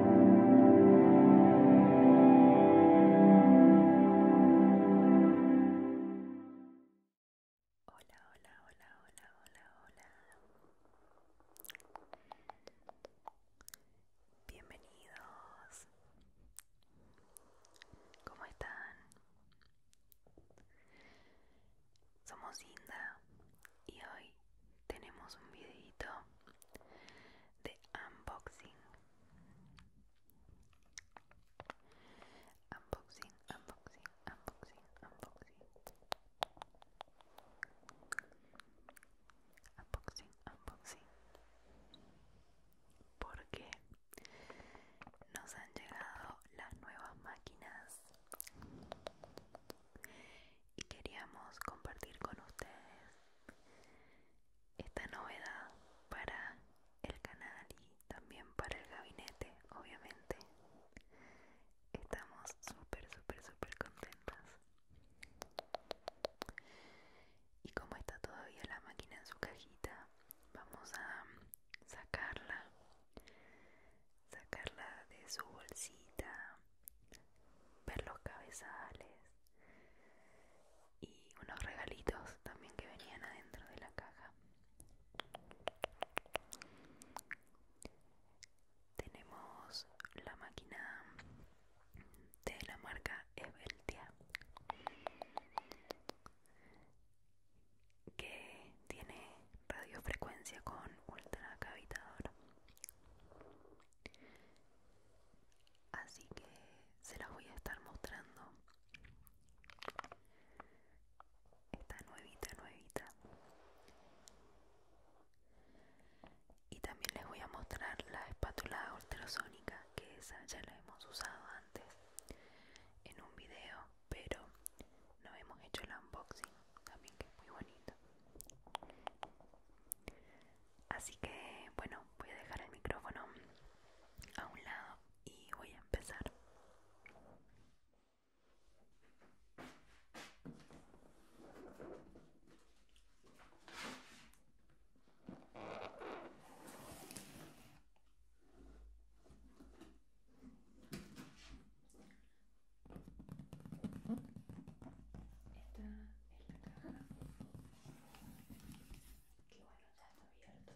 Hola, hola, hola, hola, hola, hola. Bienvenidos. ¿Cómo están? Somos Linda y hoy tenemos un videito de unboxing unboxing unboxing unboxing unboxing unboxing unboxing porque nos han llegado las nuevas máquinas y queríamos compartir con ustedes esta novedad para el canal y también para el gabinete, obviamente. Estamos súper, súper, súper contentas. Y como está todavía la máquina en su cajita, vamos a sacarla, sacarla de su bolsita ver los cabezales y unos regalitos también que venían adentro de la caja. Tenemos la máquina de la marca Eveltia que tiene radiofrecuencia con ultracavitador así que se las voy a estar mostrando esta nuevita nuevita y también les voy a mostrar la espátula ultrasónica que esa ya la hemos usado antes en un video pero no hemos hecho el unboxing también que es muy bonito Así que bueno, voy a dejar el micrófono a un lado y voy a empezar en la caja Qué bueno ya está abierto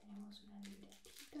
Tenemos una libretita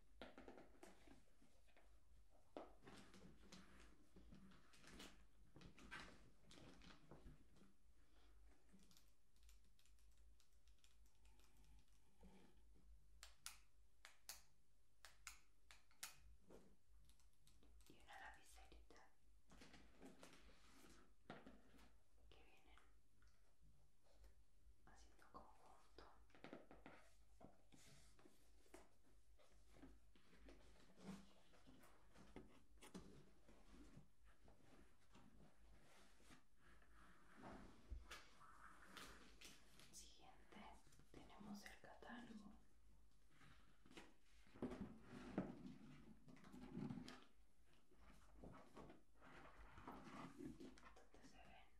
y una lapicerita que vienen ¿eh? haciendo conjunto siguiente tenemos el catálogo se ven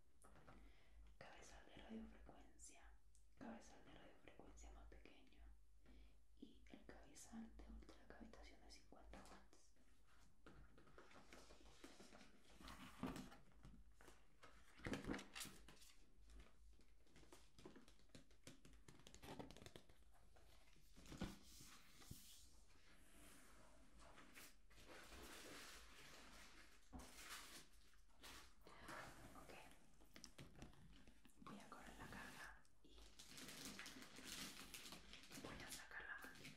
cabezal de radiofrecuencia, cabezal de radiofrecuencia más pequeño y el cabezal de ultracavitación de 50 watts. Ok, voy a correr la carga y voy a sacar la máquina.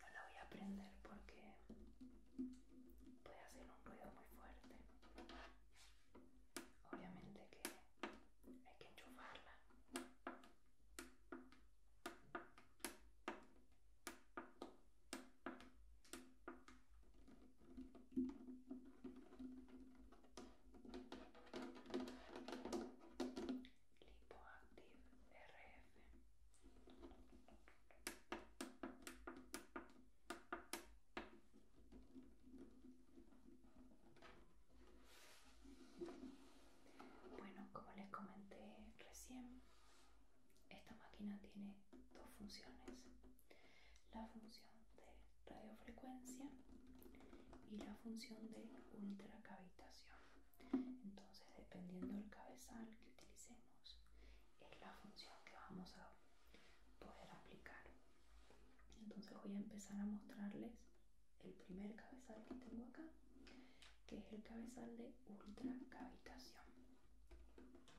No la voy a prender porque puede hacer un ruido muy fuerte. Obviamente que hay que enchufarla. Lipoactive RF. Bueno, como les comenté recién, esta máquina tiene dos funciones, la función de radiofrecuencia y la función de ultracavitación. Entonces, dependiendo del cabezal que utilicemos, es la función que vamos a poder aplicar. Entonces, voy a empezar a mostrarles el primer cabezal que tengo acá, que es el cabezal de ultracavitación, que es este.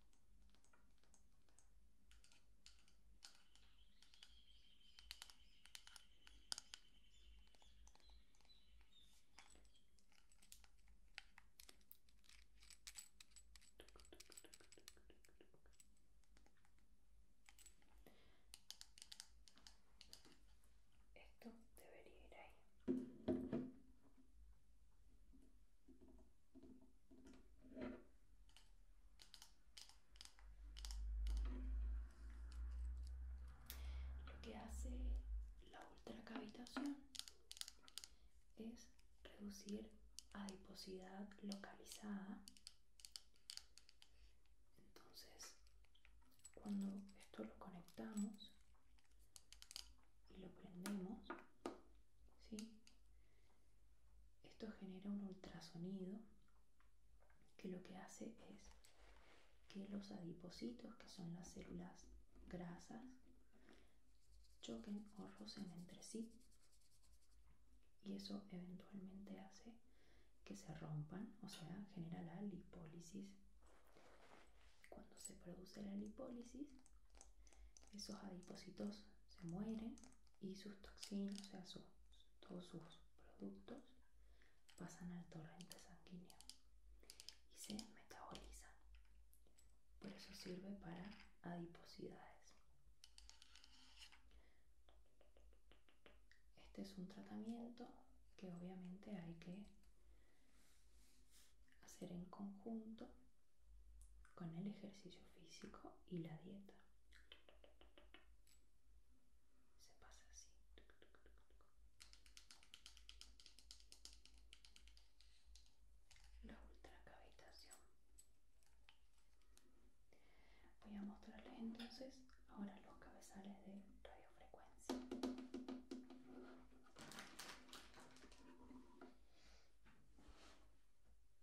Esto debería ir ahí. Lo que hace la ultracavitación es reducir adiposidad localizada. Entonces, cuando esto lo conectamos y lo prendemos, ¿sí? Esto genera un ultrasonido que lo que hace es que los adipocitos, que son las células grasas, choquen o rocen entre sí y eso eventualmente hace que se rompan, o sea, genera la lipólisis. Cuando se produce la lipólisis, esos adipocitos se mueren y sus toxinas, o sea, todos sus productos, pasan al torrente sanguíneo y se metabolizan. Por eso sirve para adiposidades. Este es un tratamiento que obviamente hay que hacer en conjunto con el ejercicio físico y la dieta se pasa así la ultracavitación voy a mostrarles entonces ahora los cabezales de radiofrecuencia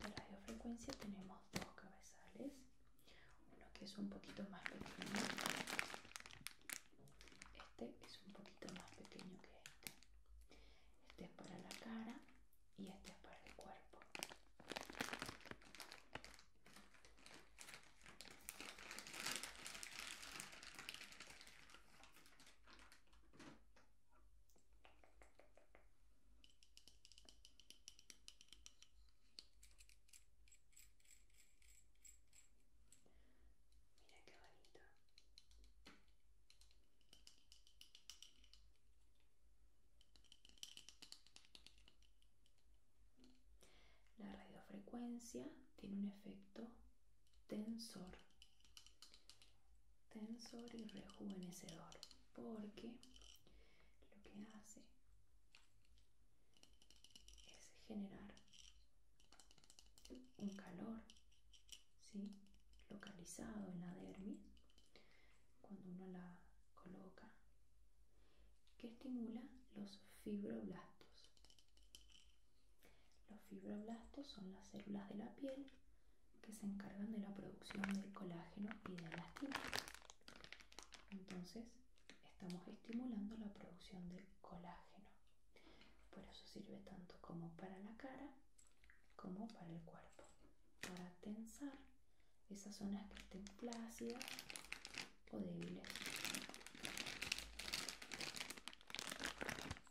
De radiofrecuencia tenemos dos cabezales, uno que es un poquito más pequeño, este es un poquito más pequeño que este, este es para la cara y este es para el cuerpo. Mira qué bonito. La radiofrecuencia tiene un efecto tensor tensor y rejuvenecedor porque lo que hace es generar un calor localizado en la dermis cuando uno la coloca que estimula los fibroblastos los fibroblastos son las células de la piel que se encargan de la producción del colágeno y de elastina. Entonces, estamos estimulando la producción del colágeno. Por eso sirve tanto como para la cara como para el cuerpo. Para tensar esas zonas que estén plácidas o débiles.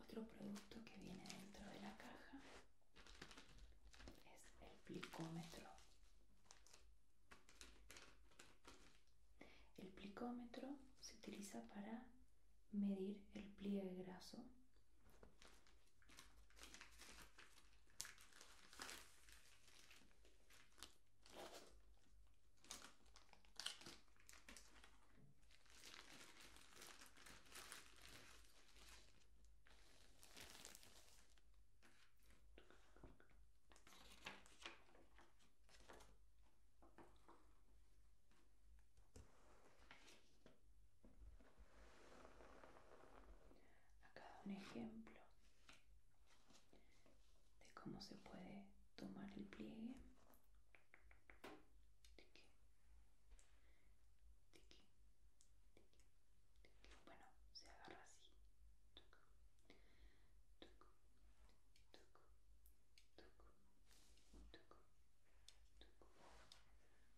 Otro producto que viene dentro de la caja es el plicómetro. El plicómetro se utiliza para medir el pliegue graso. Acá un ejemplo de cómo se puede tomar el pliegue. Bueno, se agarra así.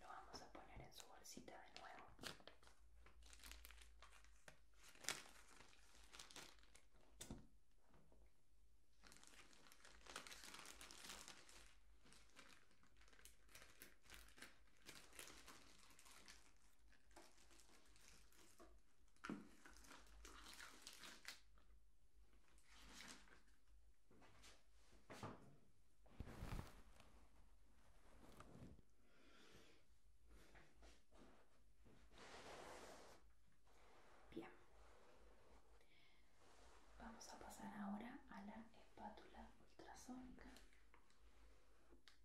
Lo vamos a poner en su bolsita de nuevo. Bien, vamos a pasar ahora a la espátula ultrasonica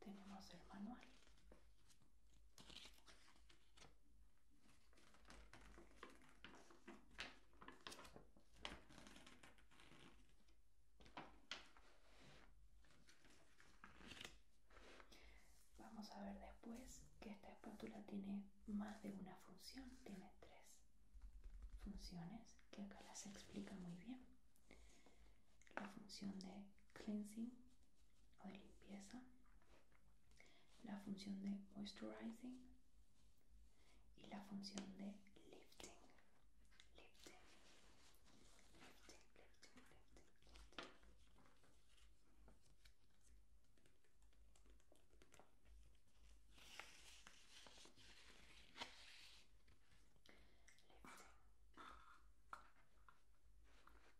tenemos el manual Vamos a ver después que esta espátula tiene más de una función, tiene tres funciones que acá las explica muy bien. La función de cleansing, o de limpieza, la función de moisturizing y la función de lifting. Lifting,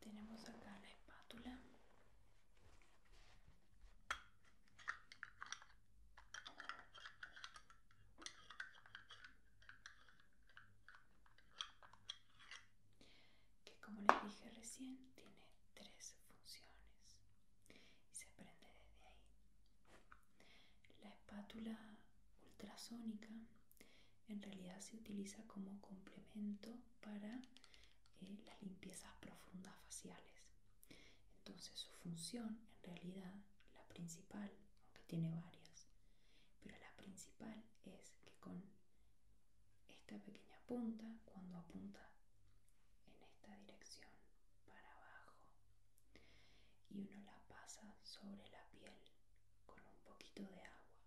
Tenemos acá la espátula que como les dije recién tiene tres funciones y se prende desde ahí. La espátula ultrasónica en realidad se utiliza como complemento para eh, las limpiezas profundas faciales. Entonces su función en realidad, la principal, aunque tiene varias, pero la principal es que con esta pequeña punta cuando apunta en esta dirección para abajo y uno la pasa sobre la piel con un poquito de agua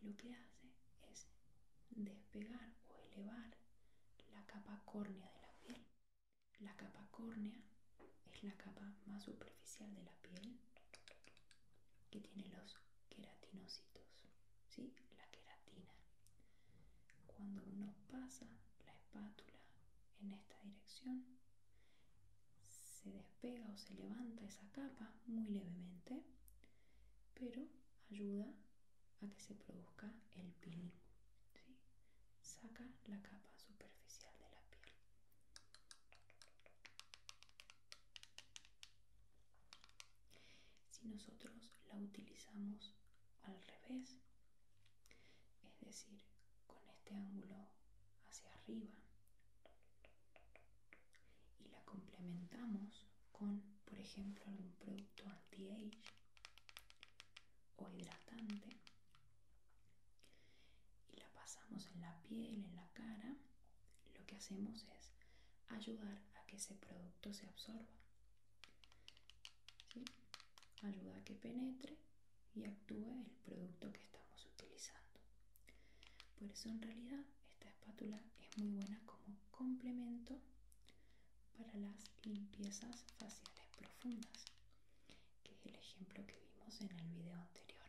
lo que hace es despegar o elevar la capa córnea de la piel la capa córnea es la capa más superficial de la piel que tiene los queratinocitos, La queratina. Cuando uno pasa la espátula en esta dirección, se despega o se levanta esa capa muy levemente, pero ayuda a que se produzca el peeling. Saca la capa superficial de la piel. Si nosotros la utilizamos al revés, es decir, con este ángulo hacia arriba y la complementamos con, por ejemplo, algún producto anti-age o hidratante y la pasamos en la piel, en la cara, lo que hacemos es ayudar a que ese producto se absorba. Ayuda a que penetre y actúe el producto que estamos utilizando. Por eso en realidad esta espátula es muy buena como complemento para las limpiezas faciales profundas, que es el ejemplo que vimos en el video anterior.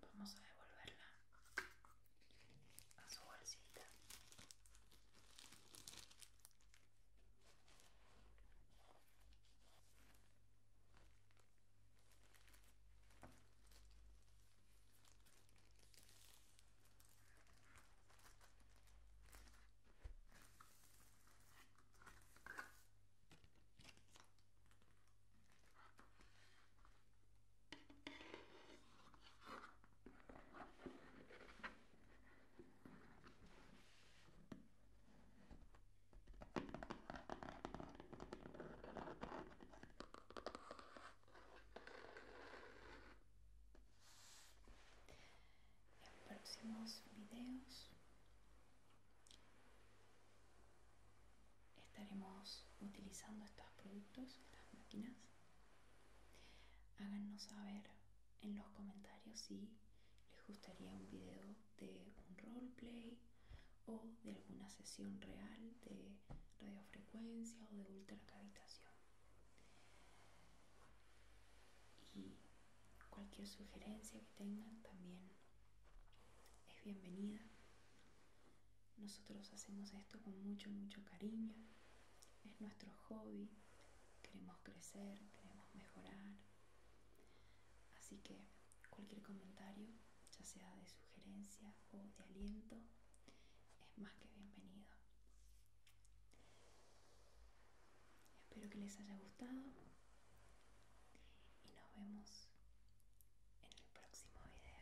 Vamos a devolverla a su bolsita. En próximos videos Estaremos utilizando estos productos, estas máquinas. Háganos saber en los comentarios si les gustaría un video de un roleplay o de alguna sesión real de radiofrecuencia o de ultracavitación. Y cualquier sugerencia que tengan también es bienvenida. Nosotros hacemos esto con mucho, mucho cariño. Es nuestro hobby. Queremos crecer, queremos mejorar. Así que cualquier comentario, ya sea de sugerencia o de aliento, es más que bienvenido. Espero que les haya gustado y nos vemos en el próximo video.